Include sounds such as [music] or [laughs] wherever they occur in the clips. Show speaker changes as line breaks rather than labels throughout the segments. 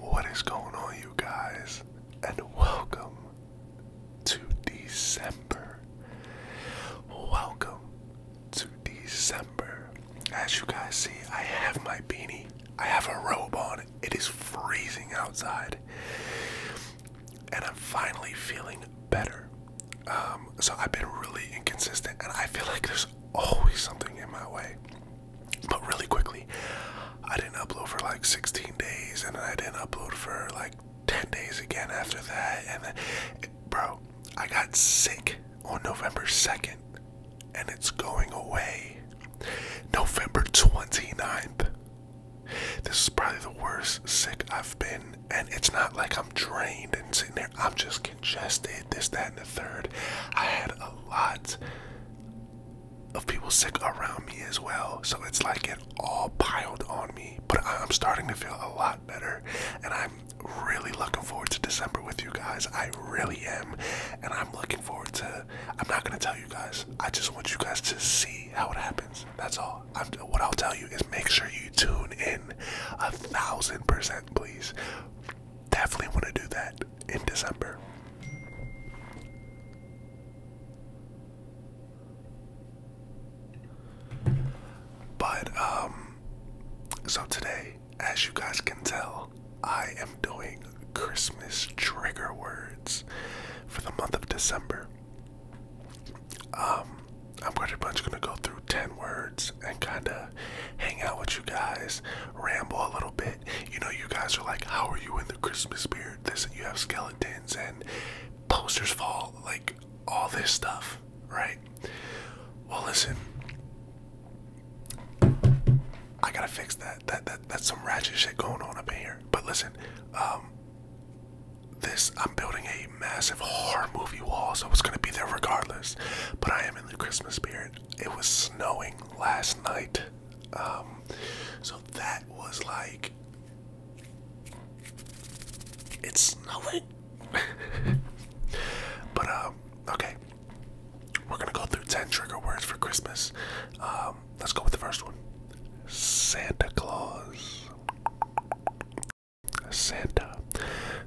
What is going on, you guys? And welcome to December. Welcome to December. As you guys see, I have my beanie, I have a robe on. It is freezing outside. And I'm finally feeling better. Um, so I've been really inconsistent, and I feel like there's always something in my way. But really quickly, I didn't upload for like 16 days, and then I didn't upload for like 10 days again after that. And then, bro, I got sick on November 2nd, and it's going away. November 29th, this is probably the worst sick I've been, and it's not like I'm drained and sitting there. I'm just congested, this, that, and the third. I had a lot of people sick around me as well, so it's like it all piled on me. But I'm starting to feel a lot better, and I'm really looking forward to December with you guys. I really am, and I'm looking forward to. I'm not gonna tell you guys. I just want you guys to see how it happens. That's all what I'll tell you is make sure you tune in a thousand percent, please. Definitely want to do that in December. But, um, so today, as you guys can tell, I am doing Christmas trigger words for the month of December. Um, I'm pretty much gonna go through 10 words and kind of hang out with you guys, ramble a little bit. You know, you guys are like, How are you in the Christmas spirit? This, you have skeletons and posters fall, like all this stuff, right? Well, listen, I gotta fix that. That, that. That's some ratchet shit going on up in here. But listen, um, this I'm building a massive horror movie wall, so was gonna be there regardless. But I am in the Christmas spirit. It was snowing last night. Um so that was like it's snowing. [laughs] but um okay. We're gonna go through 10 trigger words for Christmas. Uh, um, let's go with the first one. Santa Claus. Santa.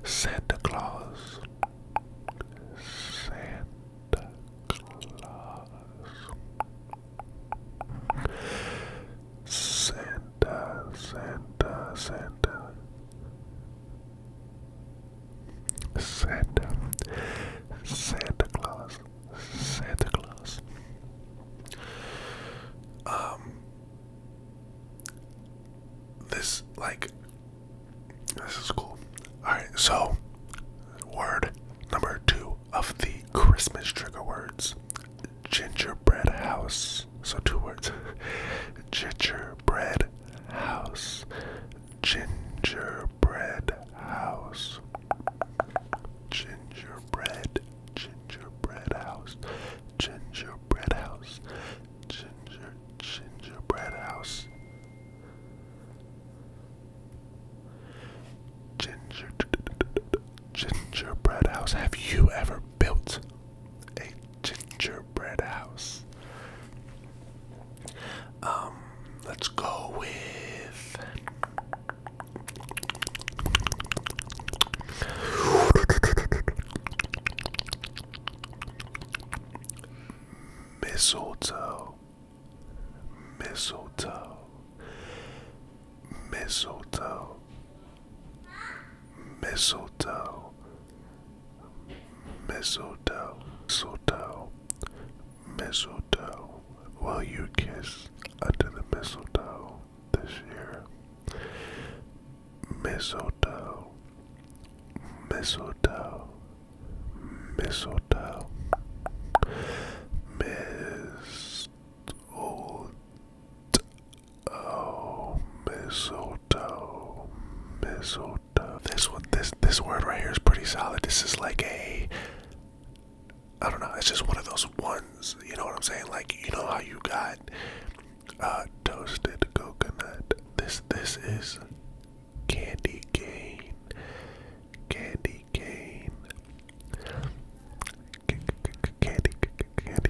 Santa Claus. Santa Claus. Santa, Santa, Santa. Santa. Santa Claus. Santa Claus. Um, this like this is cool. All right, so word number two of the Christmas trigger words: gingerbread house. So two words: [laughs] gingerbread house gingerbread house. Gingerbread, gingerbread house, gingerbread house, ginger, gingerbread house. Ginger, gingerbread house. Have you ever built a gingerbread house? Um, let's go with mistletoe, mistletoe, mistletoe, mistletoe, mistletoe, mistletoe, mistletoe. Will you kiss under the mistletoe this year? Mistletoe, mistletoe, mistletoe, mistletoe. Oh, mistletoe, mistletoe, this one, this this word right here is pretty solid. This is like a, I don't know. It's just one of those ones. You know what I'm saying? Like you know how you got a toasted coconut. This this is candy cane, candy cane, candy candy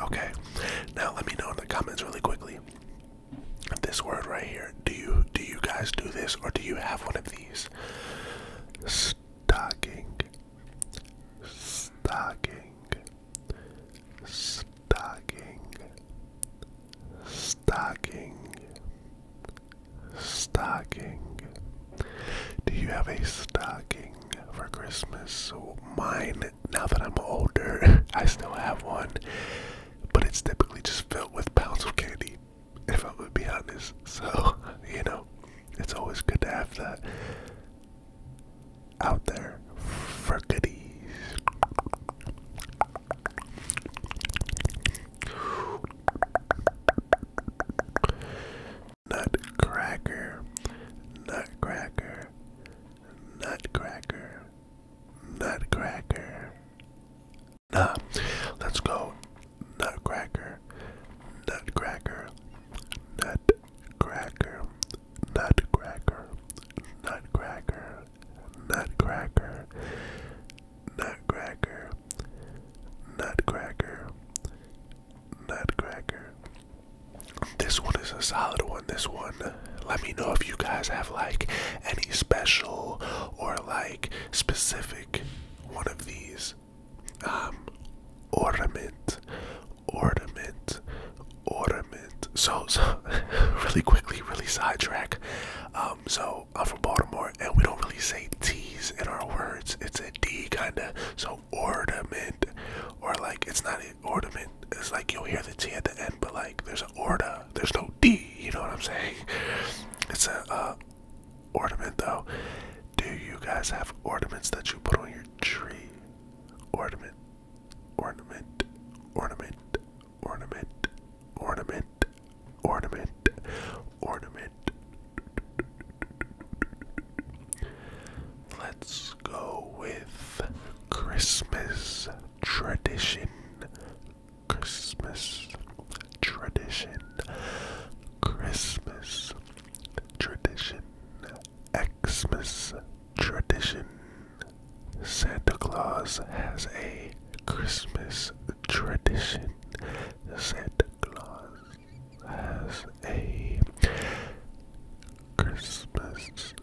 Okay, now let me know in the comments really quickly. This word right here. Do you do you guys do this or do you have one of these? Stalking. Stalking. Stalking. stocking, Stocking. Do you have a stocking for Christmas? Mine, now that I'm older, [laughs] I still have one, but it's typically just filled with pounds of candy, if i would be honest. So, [laughs] you know, it's always good to have that out there for goodies. Nutcracker, nutcracker, nutcracker, nutcracker. Nah, let's go. Nutcracker, nutcracker, nutcracker, nutcracker, nutcracker, nutcracker, nutcracker, nutcracker, nutcracker. This one is a solid one. This one, let me know if you guys have like any special or like specific one of these. Um, ornament, ornament, ornament. So, [laughs] really quickly, really sidetrack. Um, so know, I'm from Baltimore and we don't really say T's in our words. It's a D kinda. So ornament or like it's not an ornament. It's like you'll hear the T at the end, but like there's an orda. There's no D, you know what I'm saying? It's a uh, ornament though. Do you guys have ornaments that you put on your tree? Ornament. Ornament. Ornament ornament, ornament, ornament, ornament. Let's go with Christmas tradition. Christmas tradition. Christmas tradition. Xmas tradition. Santa Claus has a Christmas tradition. Santa Claus has a Christmas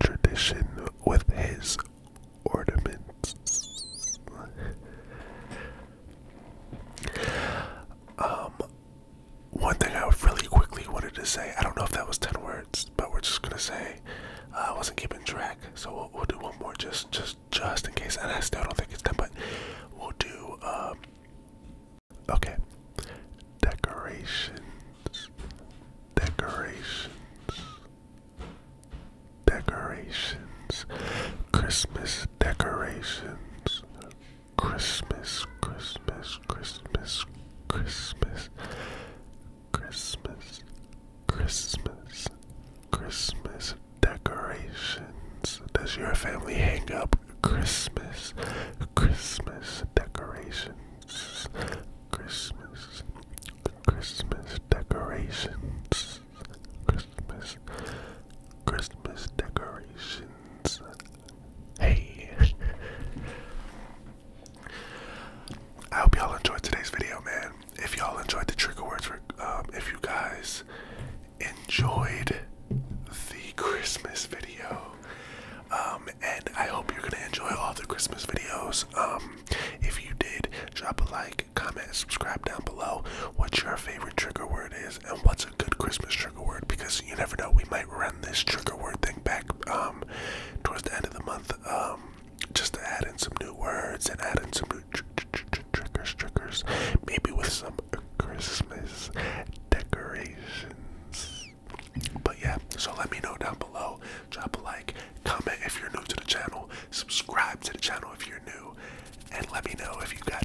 tradition with his ornaments. um, one thing I really quickly wanted to say, I don't know if that was 10 words but we're just gonna say uh, I wasn't keeping track. So we'll, do one more just just just in case. And I still don't think it's done, but we'll do. Um, okay, decorations, decorations, decorations, Christmas decorations, Christmas, Christmas, Christmas, Christmas. Christmas, Christmas, Christmas decorations. Does your family hang up Christmas, Christmas decorations? Christmas, Christmas decorations. Christmas, Christmas decorations. Hey. [laughs] I hope y'all enjoyed today's video, man. If y'all enjoyed the trigger words, um, if you guys enjoyed the Christmas video, um, and I hope you're gonna enjoy all the Christmas videos. Um, if you did, drop a like, comment, subscribe down below what your favorite trigger word is and what's a good Christmas trigger word because you never know, we might run this trigger word thing back um, towards the end of the month, um, just to add in some new words and add in some new tr triggers, triggers, maybe with some Christmas decorations. But yeah, so let me know down below. Drop a like, comment if you're new to the channel, subscribe to the channel if you're new, and let me know if you got